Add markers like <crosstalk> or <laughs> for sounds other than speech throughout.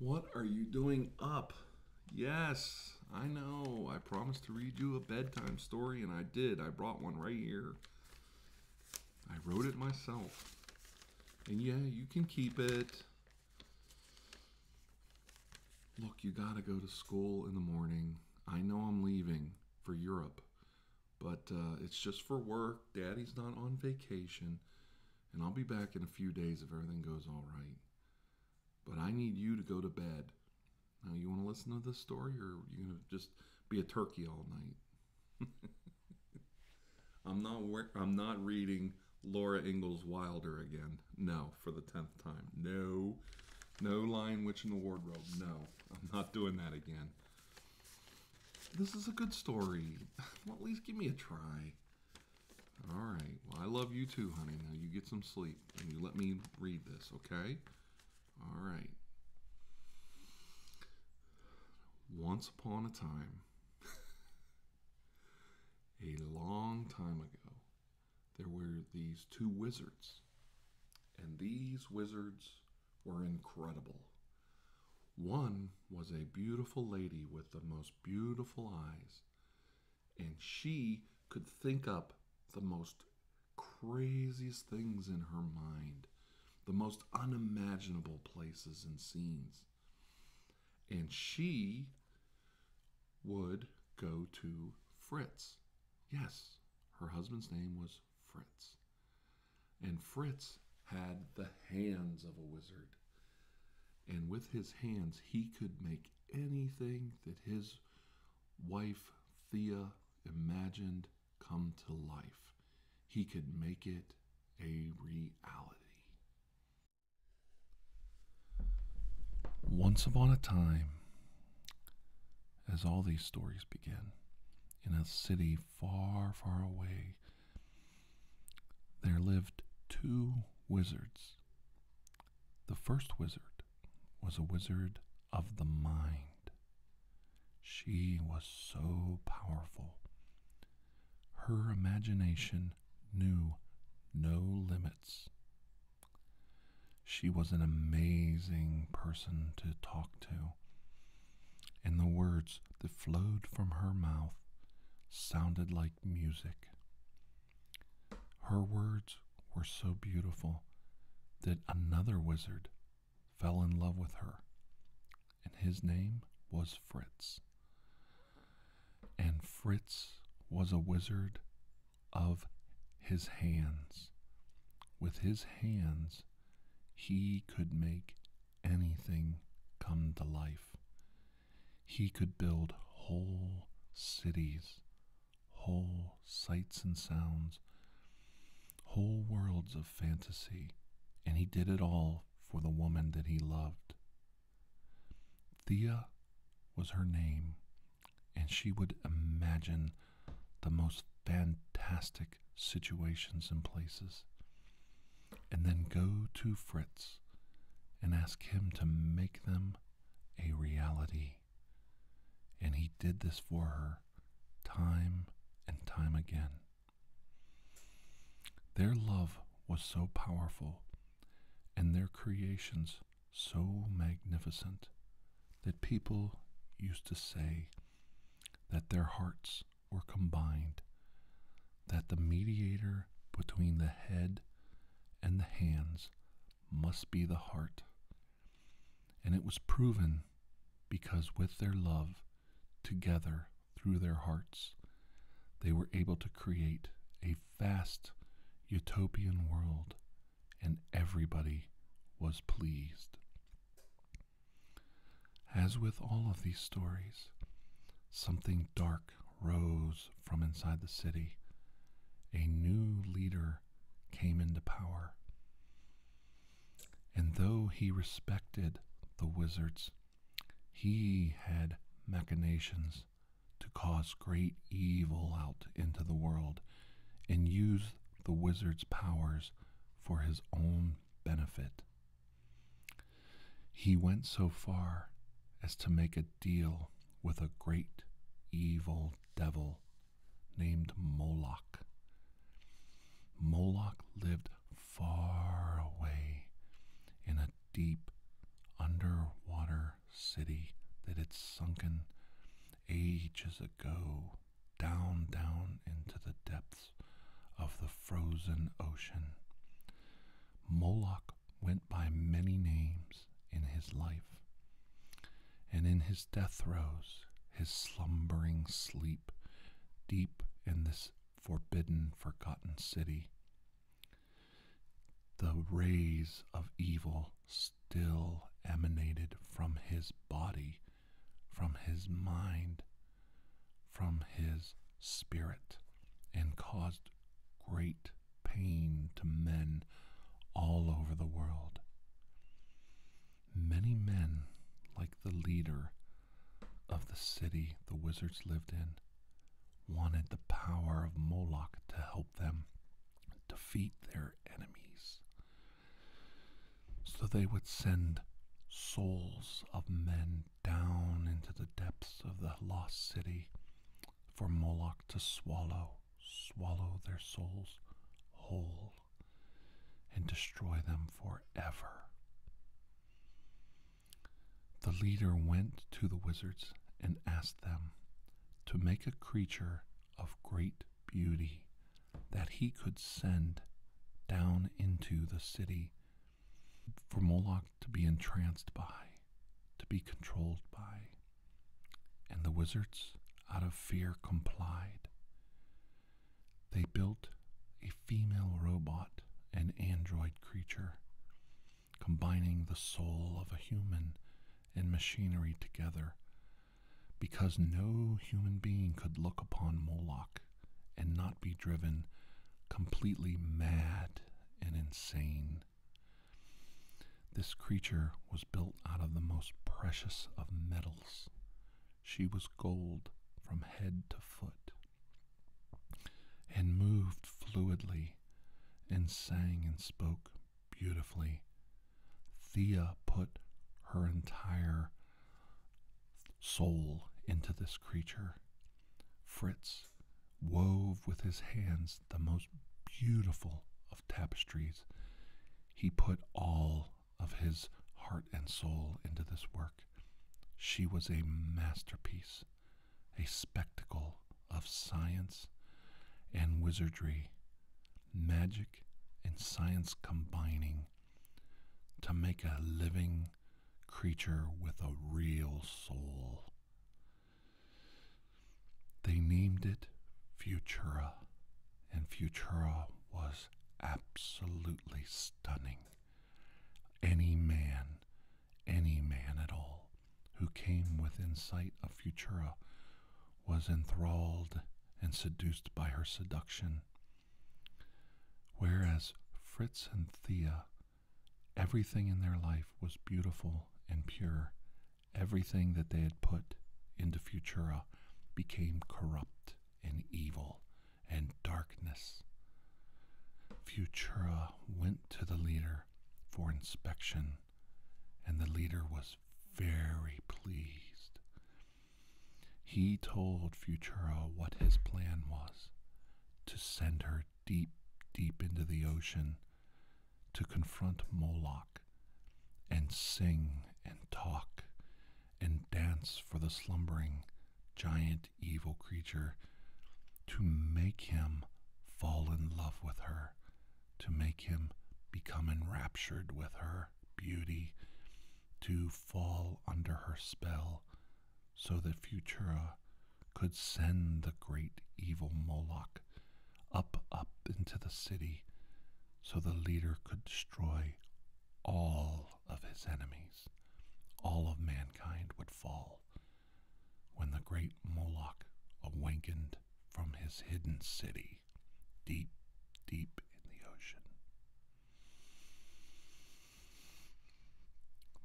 What are you doing up? Yes, I know. I promised to read you a bedtime story, and I did. I brought one right here. I wrote it myself. And yeah, you can keep it. Look, you gotta go to school in the morning. I know I'm leaving for Europe but uh, it's just for work. Daddy's not on vacation, and I'll be back in a few days if everything goes all right. But I need you to go to bed. Now, you want to listen to this story, or you are going to just be a turkey all night? <laughs> I'm not. I'm not reading Laura Ingalls Wilder again. No, for the tenth time. No, no Lion Witch in the Wardrobe. No, I'm not doing that again. This is a good story. <laughs> Well, at least give me a try. All right. Well, I love you too, honey. Now you get some sleep and you let me read this, okay? All right. Once upon a time, <laughs> a long time ago, there were these two wizards. And these wizards were incredible. One was a beautiful lady with the most beautiful eyes, and she could think up the most craziest things in her mind, the most unimaginable places and scenes. And she would go to Fritz. Yes, her husband's name was Fritz. And Fritz had the hands of a wizard. And with his hands, he could make anything that his wife, Thea, imagined come to life. He could make it a reality. Once upon a time, as all these stories begin, in a city far, far away, there lived two wizards. The first wizard was a wizard of the mind. She was so powerful. Her imagination knew no limits. She was an amazing person to talk to and the words that flowed from her mouth sounded like music. Her words were so beautiful that another wizard fell in love with her, and his name was Fritz. And Fritz was a wizard of his hands. With his hands, he could make anything come to life. He could build whole cities, whole sights and sounds, whole worlds of fantasy, and he did it all for the woman that he loved. Thea was her name, and she would imagine the most fantastic situations and places, and then go to Fritz and ask him to make them a reality. And he did this for her time and time again. Their love was so powerful and their creations so magnificent that people used to say that their hearts were combined, that the mediator between the head and the hands must be the heart. And it was proven because with their love, together through their hearts, they were able to create a vast utopian world and everybody was pleased. As with all of these stories, something dark rose from inside the city. A new leader came into power. And though he respected the wizards, he had machinations to cause great evil out into the world and used the wizard's powers for his own benefit. He went so far as to make a deal with a great evil devil named Moloch. Moloch lived far away in a deep underwater city that had sunken ages ago down, down into the depths of the frozen ocean. Moloch went by many names in his life, and in his death throes, his slumbering sleep, deep in this forbidden, forgotten city, the rays of evil still emanated from his body, from his mind, from his spirit, and caused great pain to men all over the world. Many men, like the leader of the city the wizards lived in, wanted the power of Moloch to help them defeat their enemies. So they would send souls of men down into the depths of the lost city for Moloch to swallow, swallow their souls whole, and destroy them forever. The leader went to the wizards and asked them to make a creature of great beauty that he could send down into the city for Moloch to be entranced by, to be controlled by. And the wizards, out of fear, complied. They built a female robot, an android creature, combining the soul of a human and machinery together because no human being could look upon Moloch and not be driven completely mad and insane. This creature was built out of the most precious of metals. She was gold from head to foot, and moved fluidly, and sang and spoke beautifully. Thea put her entire soul into this creature. Fritz wove with his hands the most beautiful of tapestries. He put all of his heart and soul into this work. She was a masterpiece, a spectacle of science and wizardry, magic and science combining to make a living creature with a real soul. They named it Futura, and Futura was absolutely stunning. Any man, any man at all, who came within sight of Futura, was enthralled and seduced by her seduction. Whereas Fritz and Thea, everything in their life was beautiful and pure. Everything that they had put into Futura became corrupt and evil and darkness. Futura went to the leader for inspection and the leader was very pleased. He told Futura what his plan was to send her deep, deep into the ocean to confront Moloch and sing and talk and dance for the slumbering giant evil creature to make him fall in love with her to make him become enraptured with her beauty, to fall under her spell, so that Futura could send the great evil Moloch up, up into the city, so the leader could destroy all of his enemies. All of mankind would fall when the great Moloch awakened from his hidden city deep, deep in the ocean.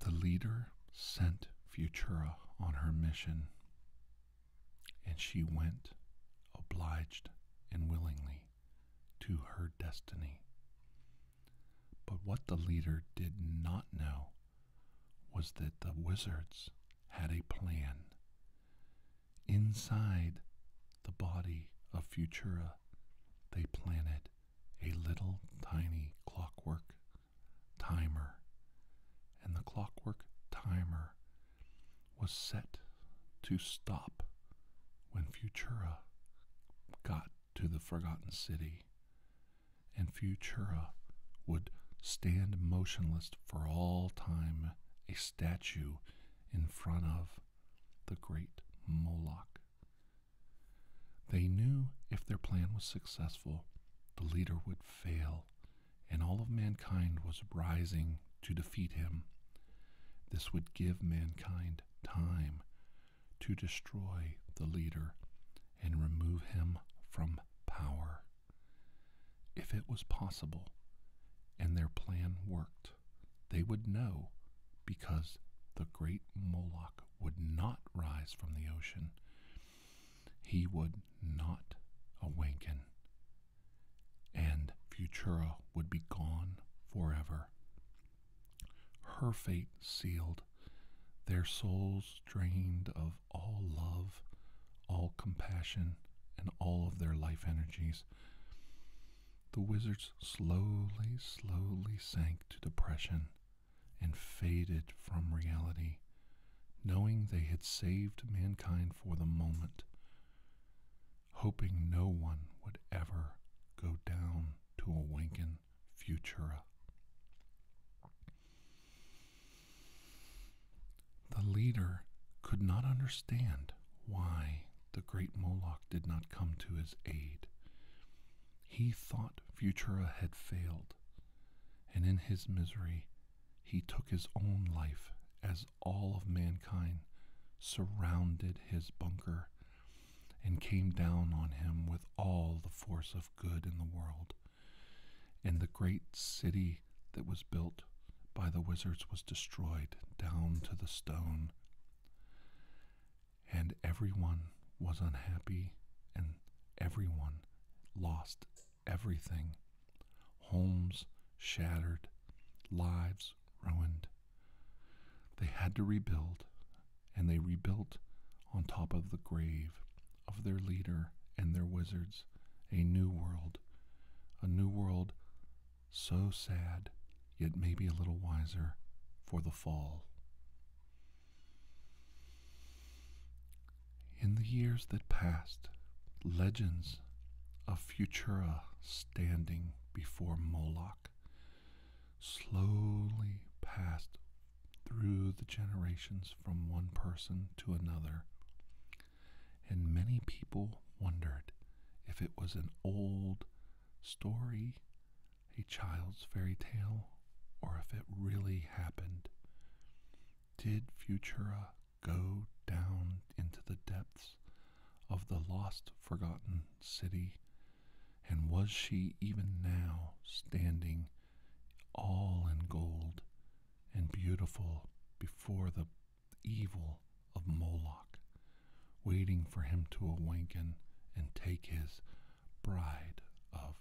The leader sent Futura on her mission, and she went, obliged and willingly, to her destiny. But what the leader did not know was that the wizards had a plan. Inside the body of Futura, they planted a little tiny clockwork timer, and the clockwork timer was set to stop when Futura got to the Forgotten City and Futura would stand motionless for all time, a statue in front of the great Moloch. They knew if their plan was successful, the leader would fail, and all of mankind was rising to defeat him. This would give mankind time to destroy the leader and remove him from power. If it was possible and their plan worked, they would know because the great Moloch would not rise from the ocean. He would not awaken. And Futura would be gone forever. Her fate sealed their souls drained of all love, all compassion, and all of their life energies. The wizards slowly, slowly sank to depression and faded from reality, knowing they had saved mankind for the moment, hoping no one would ever go down to awaken in Futura. The leader could not understand why the great Moloch did not come to his aid. He thought Futura had failed, and in his misery, he took his own life as all of mankind surrounded his bunker and came down on him with all the force of good in the world and the great city that was built by the wizards was destroyed down to the stone. And everyone was unhappy, and everyone lost everything. Homes shattered, lives ruined. They had to rebuild, and they rebuilt on top of the grave of their leader and their wizards a new world, a new world so sad, yet maybe a little wiser for the fall. In the years that passed, legends of Futura standing before Moloch slowly passed through the generations from one person to another, and many people wondered if it was an old story, a child's fairy tale, or if it really happened. Did Futura go down into the depths of the lost, forgotten city and was she even now standing all in gold and beautiful before the evil of Moloch, waiting for him to awaken and take his bride of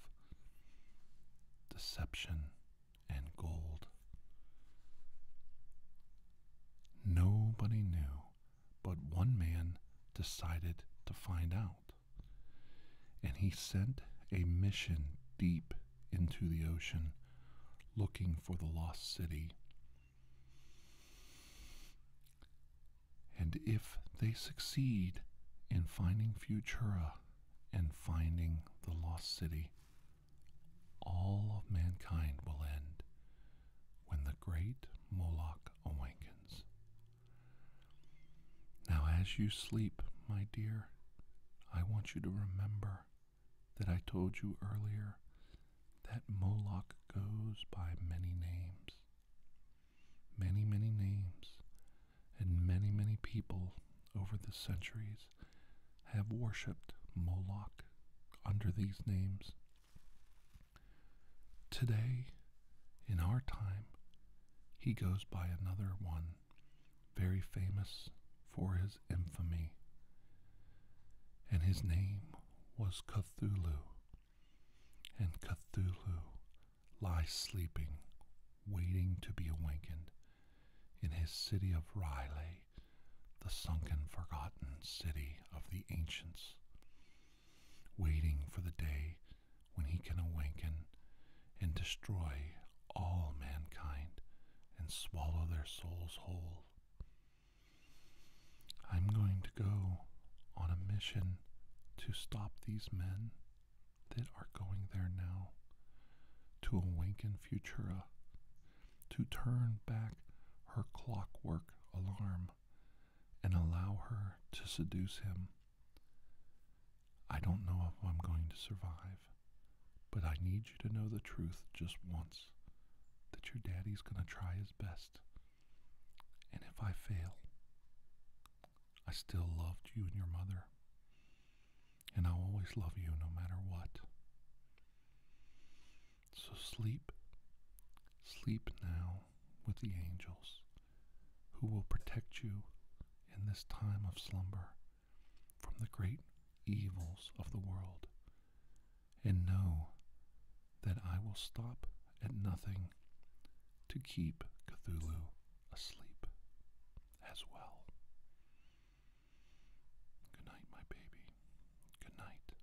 deception and gold? Nobody knew, but one man decided to find out. And he sent a mission deep into the ocean looking for the lost city. And if they succeed in finding Futura and finding the lost city, all of mankind will end when the great Moloch awakens. Now, as you sleep, my dear, I want you to remember that I told you earlier that Moloch goes by many names. Many, many names, and many, many people over the centuries have worshipped Moloch under these names. Today, in our time, he goes by another one, very famous for his infamy, and his name was Cthulhu. And Cthulhu lies sleeping, waiting to be awakened, in his city of Ryle, the sunken, forgotten city of the ancients waiting for the day when he can awaken and destroy all mankind and swallow their souls whole. I'm going to go on a mission to stop these men that are going there now, to awaken Futura, to turn back her clockwork alarm and allow her to seduce him. I don't know if I'm going to survive, but I need you to know the truth just once that your daddy's going to try his best. And if I fail, I still loved you and your mother. And I'll always love you no matter what. So sleep. Sleep now with the angels who will protect you in this time of slumber from the great evils of the world. And know that I will stop at nothing to keep Cthulhu asleep as well. Good night, my baby. Good night.